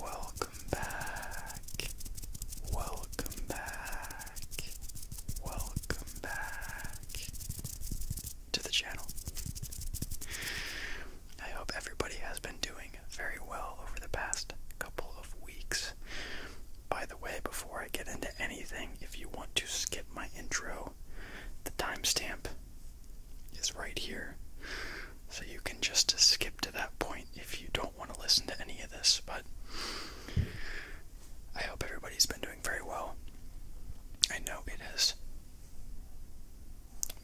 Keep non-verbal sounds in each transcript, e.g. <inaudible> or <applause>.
Welcome back. Welcome back. Welcome back to the channel. I hope everybody has been doing very well over the past couple of weeks. By the way, before I get into anything, if you want to skip my intro, the timestamp is right here. So you can just skip to that point if you don't want to listen to any of this. But I hope everybody's been doing very well. I know it is.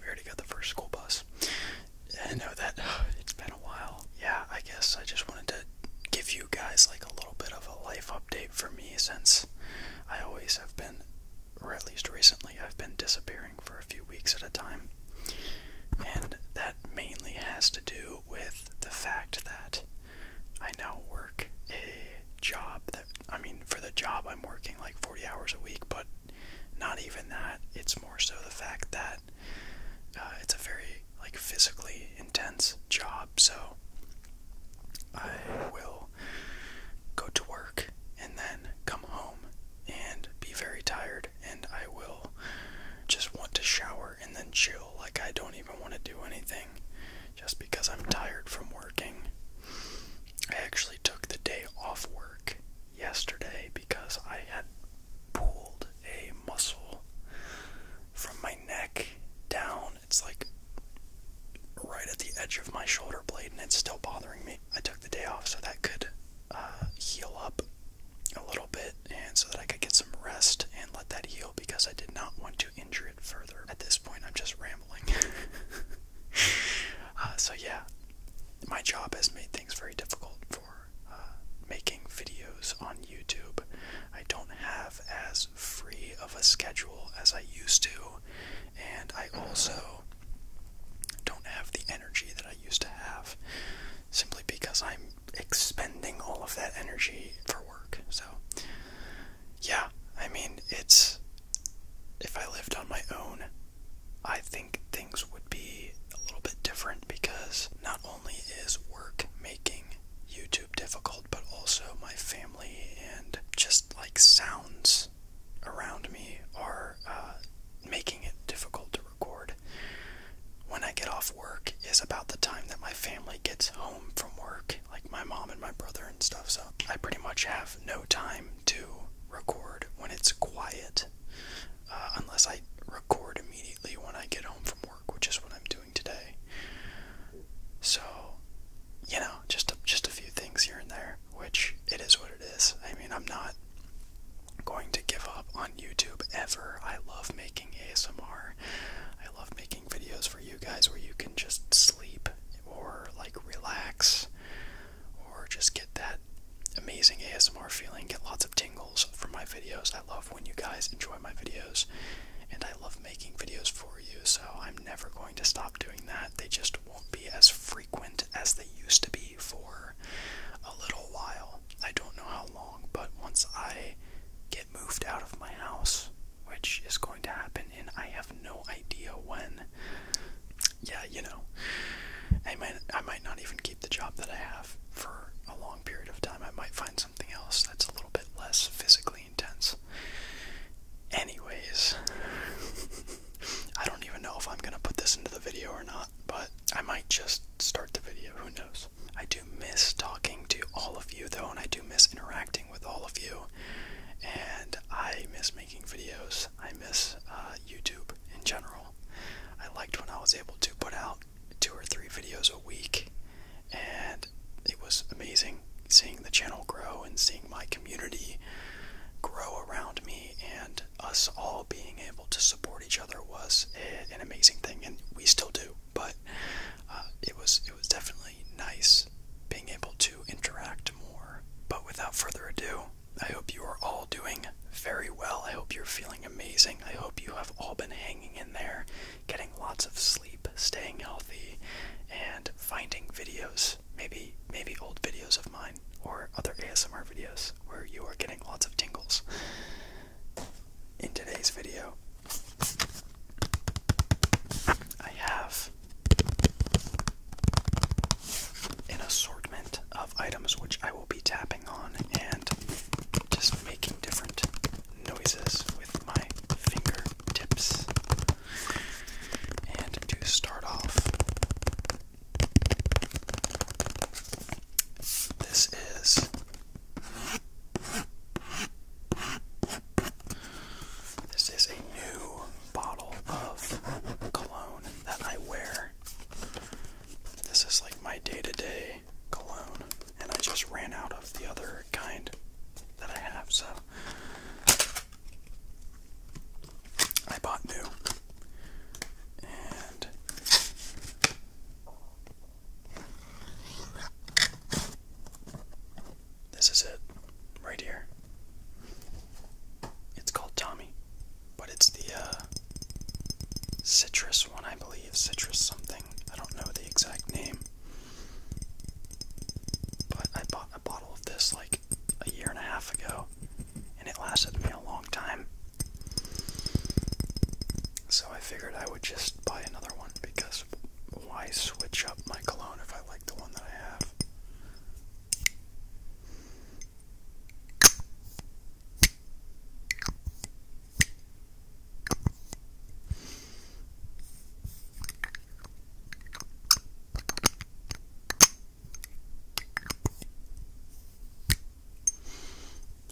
We already got the first school bus. I know that <sighs> it's been a while. Yeah, I guess I just wanted to give you guys like a little bit of a life update for me since I always have been, or at least recently, I've been disappearing for a few weeks at a time. And that mainly has to do with the fact that I now work a job that, I mean, for the job I'm working like 40 hours a week, but not even that. It's more so the fact that uh, it's a very like physically intense job. So I will go to work and then come home and be very tired, and I will just want to shower and then chill. Like I don't even want to do anything just because I'm tired from working I actually took the day off work yesterday because I had pulled a muscle from my neck down. It's like right at the edge of my shoulder blade and it's still bothering me. I took the day off so that could uh, heal up a little bit and so that I could get some rest and let that heal because I did not want to injure it further. At this point, I'm just rambling. <laughs> <laughs> Uh, so yeah, my job has made things very difficult for uh, making videos on YouTube. I don't have as free of a schedule as I used to, and I also don't have the energy that I used to have simply because I'm expending all of that energy for work. So, yeah, I mean, it's if I lived on my own, I think things would be a little bit different because not only is work making YouTube difficult, but also my family and just like sounds around me are uh, making it difficult to record. When I get off work is about the time that my family gets home from work, like my mom and my brother and stuff, so I pretty much have no time to record when it's quiet, uh, unless I record immediately when I get home from work, which is what I'm doing today. So, you know, just just a few things here and there, which it is what it is. I mean, I'm not going to give up on YouTube ever. I love making ASMR. I love making videos for you guys where you can just sleep or like relax or just get that amazing ASMR feeling, get lots of tingles from my videos. I love when you guys enjoy my videos, and I love making videos for you, so I'm never going to stop doing that. They just won't be as frequent as they used to be for a little while. I don't know how long, but once I get moved out of my house, which is going to happen, and I have no idea when yeah, you know, I might I might not even keep the job that I have for a long period of time. I might find something else that's a little bit less physically intense. Anyways, <laughs> I don't even know if I'm gonna put this into the video or not, but I might just start the video. Who knows? I do miss talking to all of you though, and I do miss interacting with all of you, and I miss making videos. I miss uh, YouTube in general. I liked when I was able to put out two or three videos a week, and it was amazing seeing the channel grow and seeing my community grow around me and us all being able to support each other was an amazing thing and we still do but uh, it was it was definitely nice being able to interact more but without further ado I hope you are all doing very well. I hope you're feeling amazing. I hope you have all been hanging in there, getting lots of sleep, staying healthy, and finding videos, maybe maybe old videos of mine or other ASMR videos where you are getting lots of tingles. In today's video, I have an assortment of items which I will be tapping on and just making different noises with my finger tips. And to start off, this is this is a new bottle of cologne that I wear. This is like my day to day cologne, and I just ran out of the other kind that I have, so I bought new. And this is it, right here. It's called Tommy, but it's the uh, citrus one, I believe. Citrus something. I don't know the exact name. But I bought a bottle of this like a year and a half ago, and it lasted me a long time. So I figured I would just buy another one because why switch up my cologne if I like the one that I have?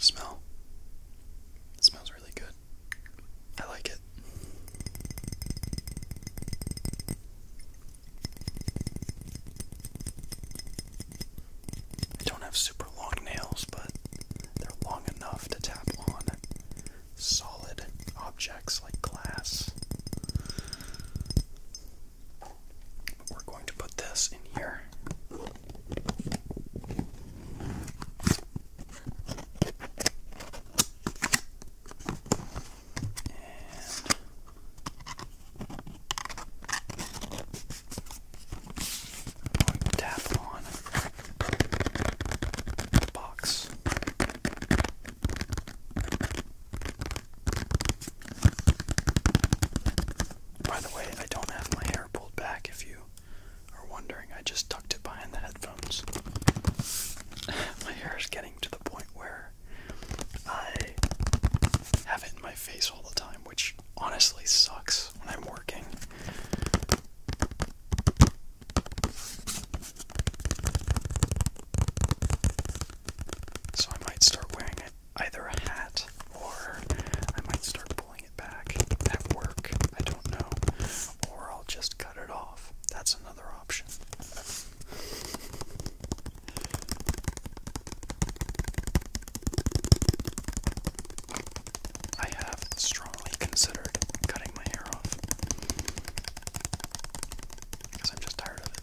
Smell. smells really good. I like it. I don't have super long nails, but they're long enough to tap on solid objects like glass. We're going to put this in here tap on the box. By the way, I don't have my hair pulled back if you are wondering. I just tucked it behind the headphones. <laughs> my hair is getting to the point where I have it in my face all the time, which honestly sucks when I'm working. So I might start wearing it either a hat or I might start pulling it back at work. I don't know. Or I'll just cut it off. That's another option. I have strongly considered cutting my hair off because I'm just tired of it.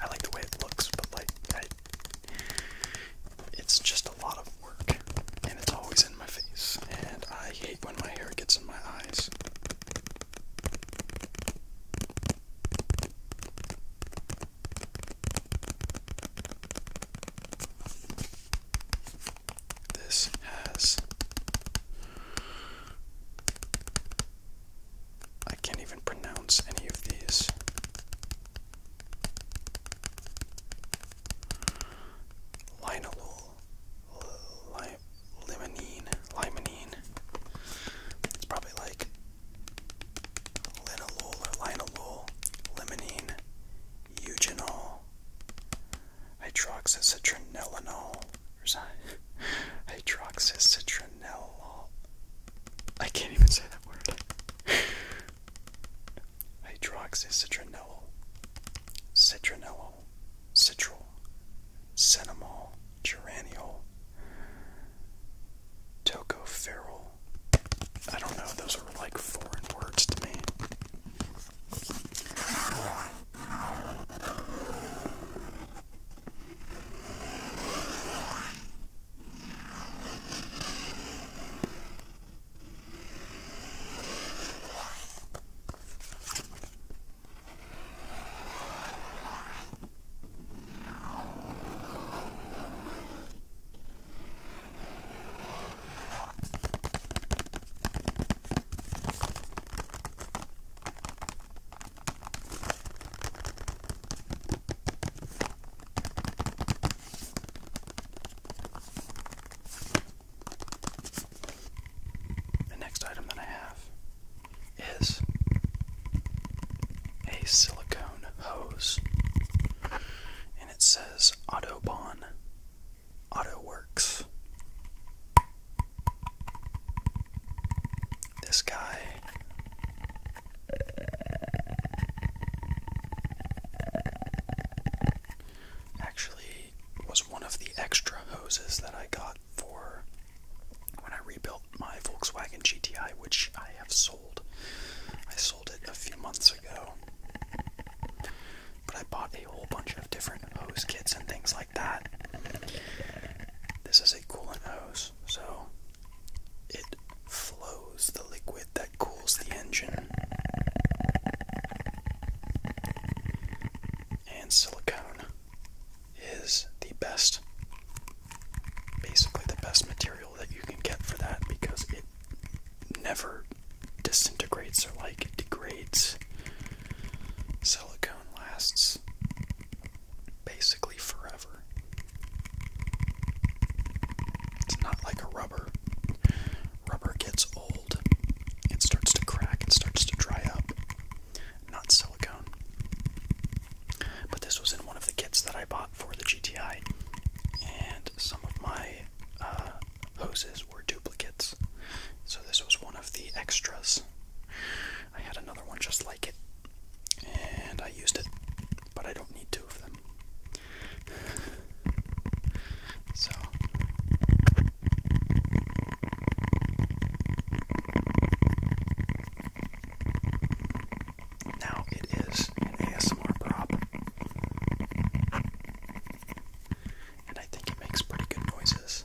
I like the way it looks, but like, it's just a lot of work, and it's always in my face, and I hate when my hair gets in my eyes. This has. I can't even pronounce any of these. Linalool limonene, limonene. It's probably like linolol or linolol, limonene, eugenol, hydroxycitronellinol, or sorry, <laughs> hydroxycitronellol. I can't even say that word. <laughs> hydroxycitronellol, citronellol, citral, Cinnamol, Geraniol, Tocopherol. I don't know, those are like foreign words to me. The next item that I have is a silicone hose and it says Autobahn Auto This guy actually was one of the extra hoses that I got for when I rebuilt my Volkswagen GTI, which I have sold. I sold it a few months ago. But I bought a whole bunch of different hose kits and things like that. This is a coolant hose, so it flows the liquid that cools the engine. And silicone is the best, basically the best material that you can get for that because it never disintegrates or like it degrades. Silicone lasts basically forever. It's not like a rubber. Rubber gets old, it starts to crack, it starts to dry up not silicone. But this was in one of the kits that I bought for the GTI, and some of my uh, hoses were duplicates. So this was one of the extras. I had another one just like it, and I used it, but I don't need two of them. So. Now it is an ASMR prop. And I think it makes pretty good noises.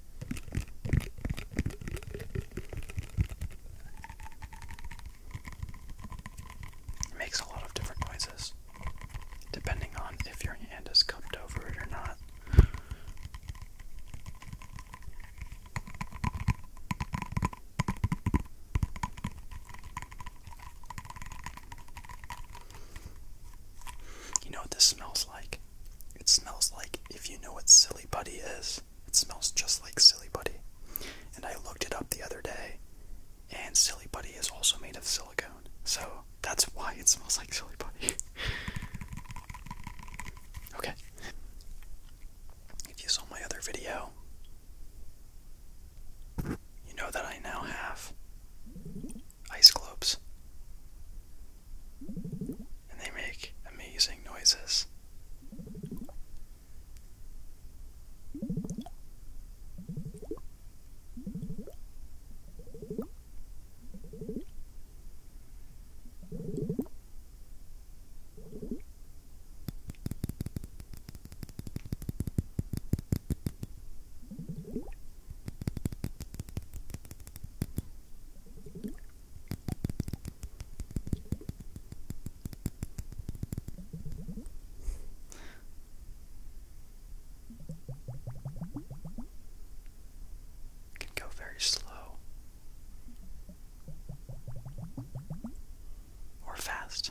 It makes a lot of different noises depending on if your hand is cupped over it or not. You know what this smells like? It smells like if you know what Silly Buddy is, it smells just like Silly Buddy. And I looked it up the other day, and Silly Buddy is also made of silicone. So that's why it smells like Silly Buddy. <laughs> okay. If you saw my other video, you know that I now have ice globes and they make amazing noises. Can go very slow or fast.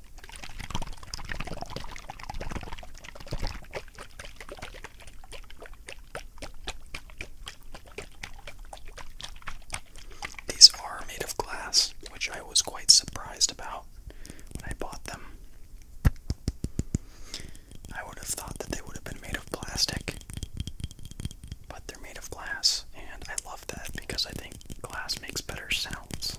These are made of glass, which I was quite surprised about when I bought them. I would have thought that they would have been made of plastic, but they're made of glass, and I love that because I think glass makes better sounds.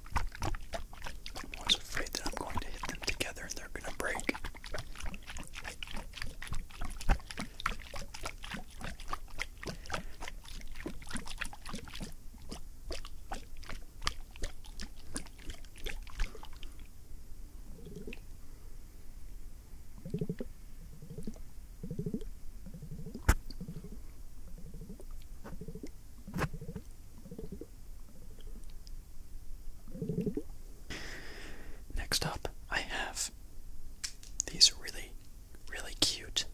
I'm always afraid that I'm going to hit them together and they're going to break. Next up, I have these really, really cute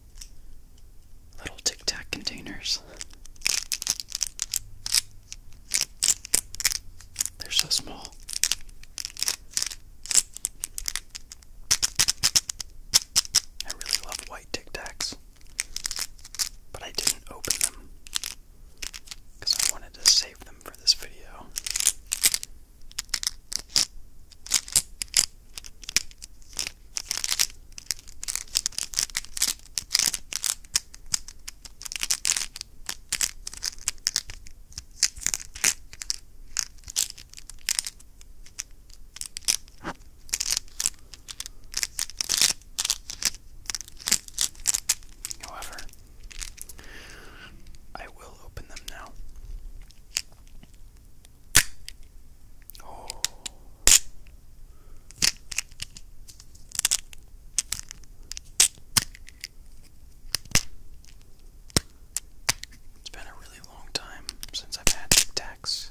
little Tic Tac containers. They're so small. I really love white Tic Tacs. But I didn't open them because I wanted to save them for this video. However, I will open them now. Oh. It's been a really long time since I've had Tic Tacs.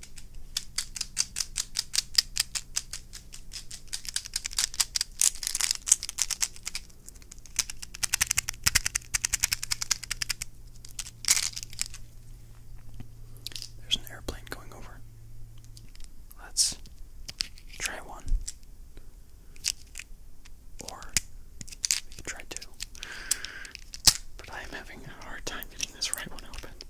There's an airplane going over. Let's try one. Or we could try two. But I am having a hard time getting this right one open.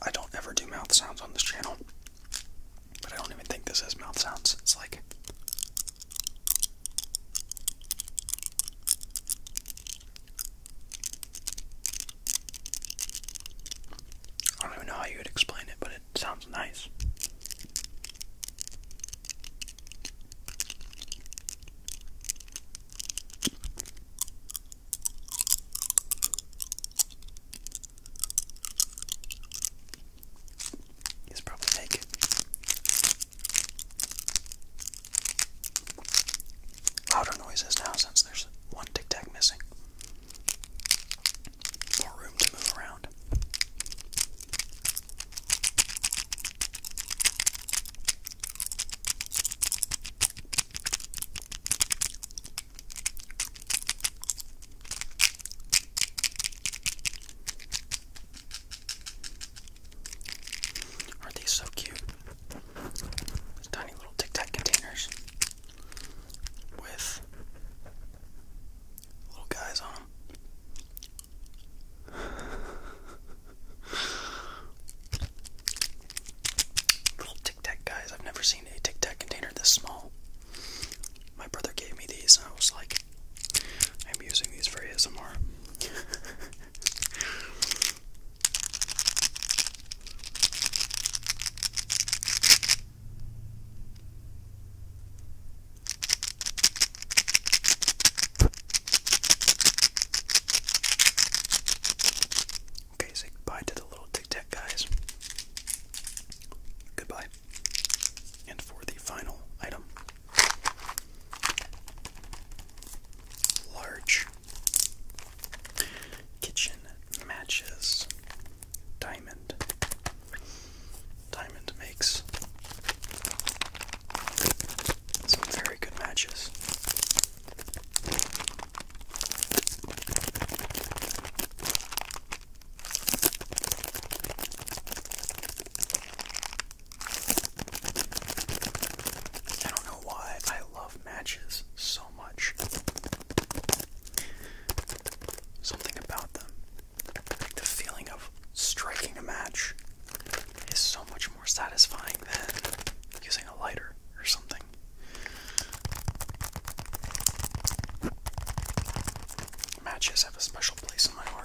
I don't ever do mouth sounds on this channel, but I don't even think this is mouth sounds. It's like. I don't even know how you would explain it, but it sounds nice. It's probably naked louder noises now since there's one tic tac missing. More room to move around. Are these so cute? tiny little Tic Tac containers with little guys on them. <laughs> little Tic Tac guys. I've never seen a Tic Tac container this small. My brother gave me these, and I was like, I'm using these for ASMR. <laughs> Okay, say goodbye to the little tic tac guys. Goodbye. And for the final item large Kitchen matches. Diamond. Diamond makes some very good matches. I don't know why I love matches so much. Something about them. the feeling of striking a match is so much more satisfying than using a lighter or something. Matches have a special place in my heart.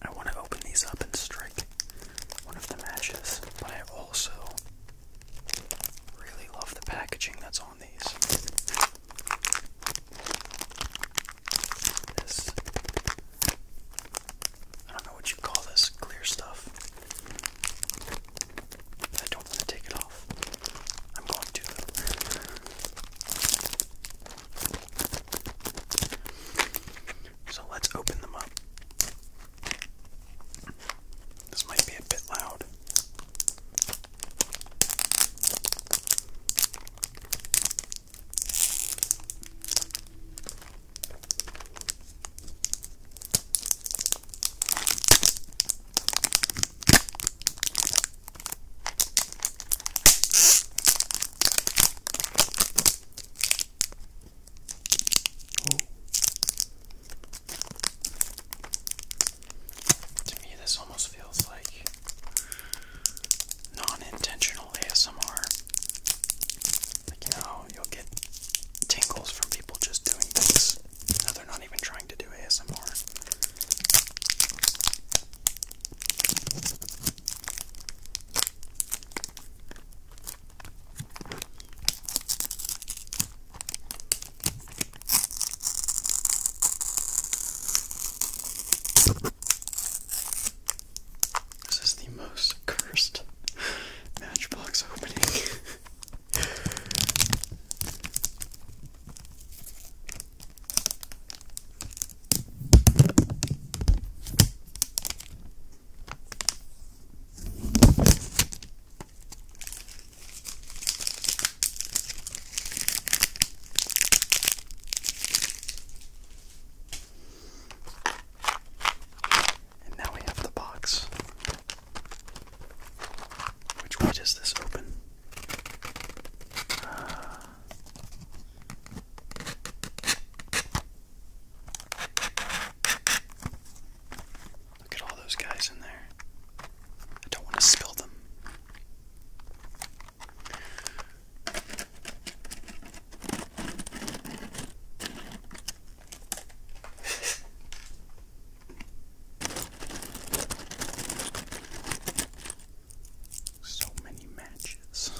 I want to open these up and strike one of the matches, but I also really love the packaging that's on these. I don't know what you call this clear stuff. I don't want to take it off. I'm going to. So let's open them up. This might be a bit loud. To me, this almost feels like non intentional ASMR. Like, you know, you'll get tingles from people just doing things. No, they're not even trying to do ASMR. This is the most cursed matchbox opening. And now we have the box. Which way does this open? Uh, Look at all those guys in there. I don't want to spill them. So many matches.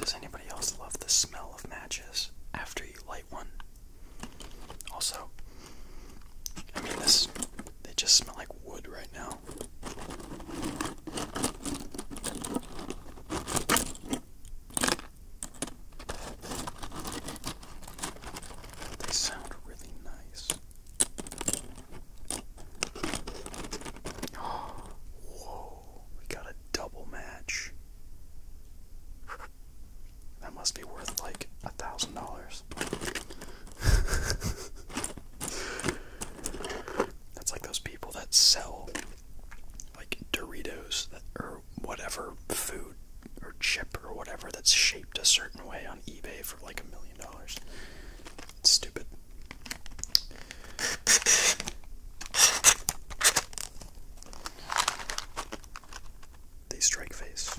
Does anybody else love the smell of matches after you light one? Also, I mean, this, they just smell like wood right now. They sound really nice. whoa, we got a double match. That must be worth like a thousand dollars. <laughs> That's like those people that sell like Doritos or whatever food or chip or whatever that's shaped a certain way on eBay for like a million dollars. It's stupid. They strike face.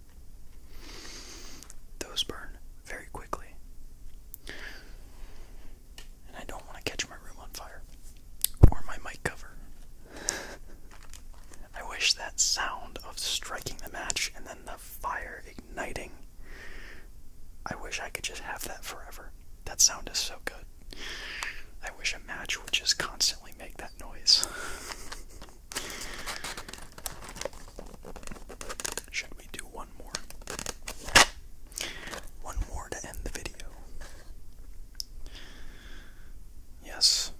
Those burn very quickly. And I don't want to catch my room on fire or my mic cover. <laughs> I wish that sound of striking the match and then the fire igniting. I wish I could just have that forever. That sound is so good. I wish a match would just constantly make that noise. <laughs> Should we do one more? One more to end the video. Yes.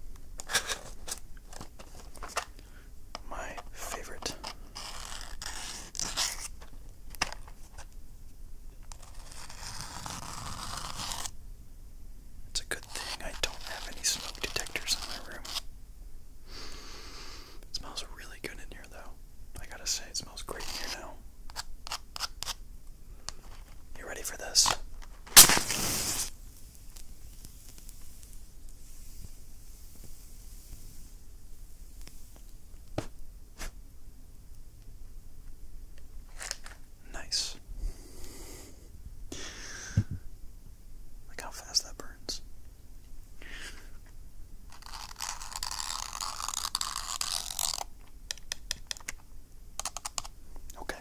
My favorite. It's a good thing I don't have any smoke detectors in my room smells really good in here, though. I gotta say, it smells great in here now. You ready for this? Nice. Look how fast that burns. Okay.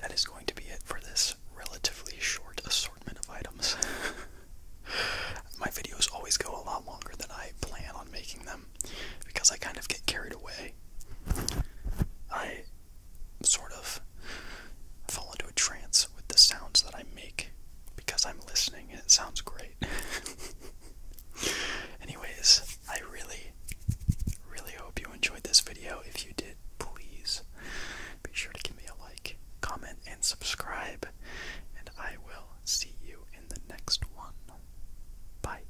That is going to be it for this relatively short assortment of items. <laughs> My videos always go a lot longer than I plan on making them because I kind of get carried away. I sort of fall into a trance with the sounds that I make because I'm listening and it sounds great. <laughs> Anyways, I really, really hope you enjoyed this video. If you did, please be sure to give me a like, comment, and subscribe. And I will see you in the next one. Bye.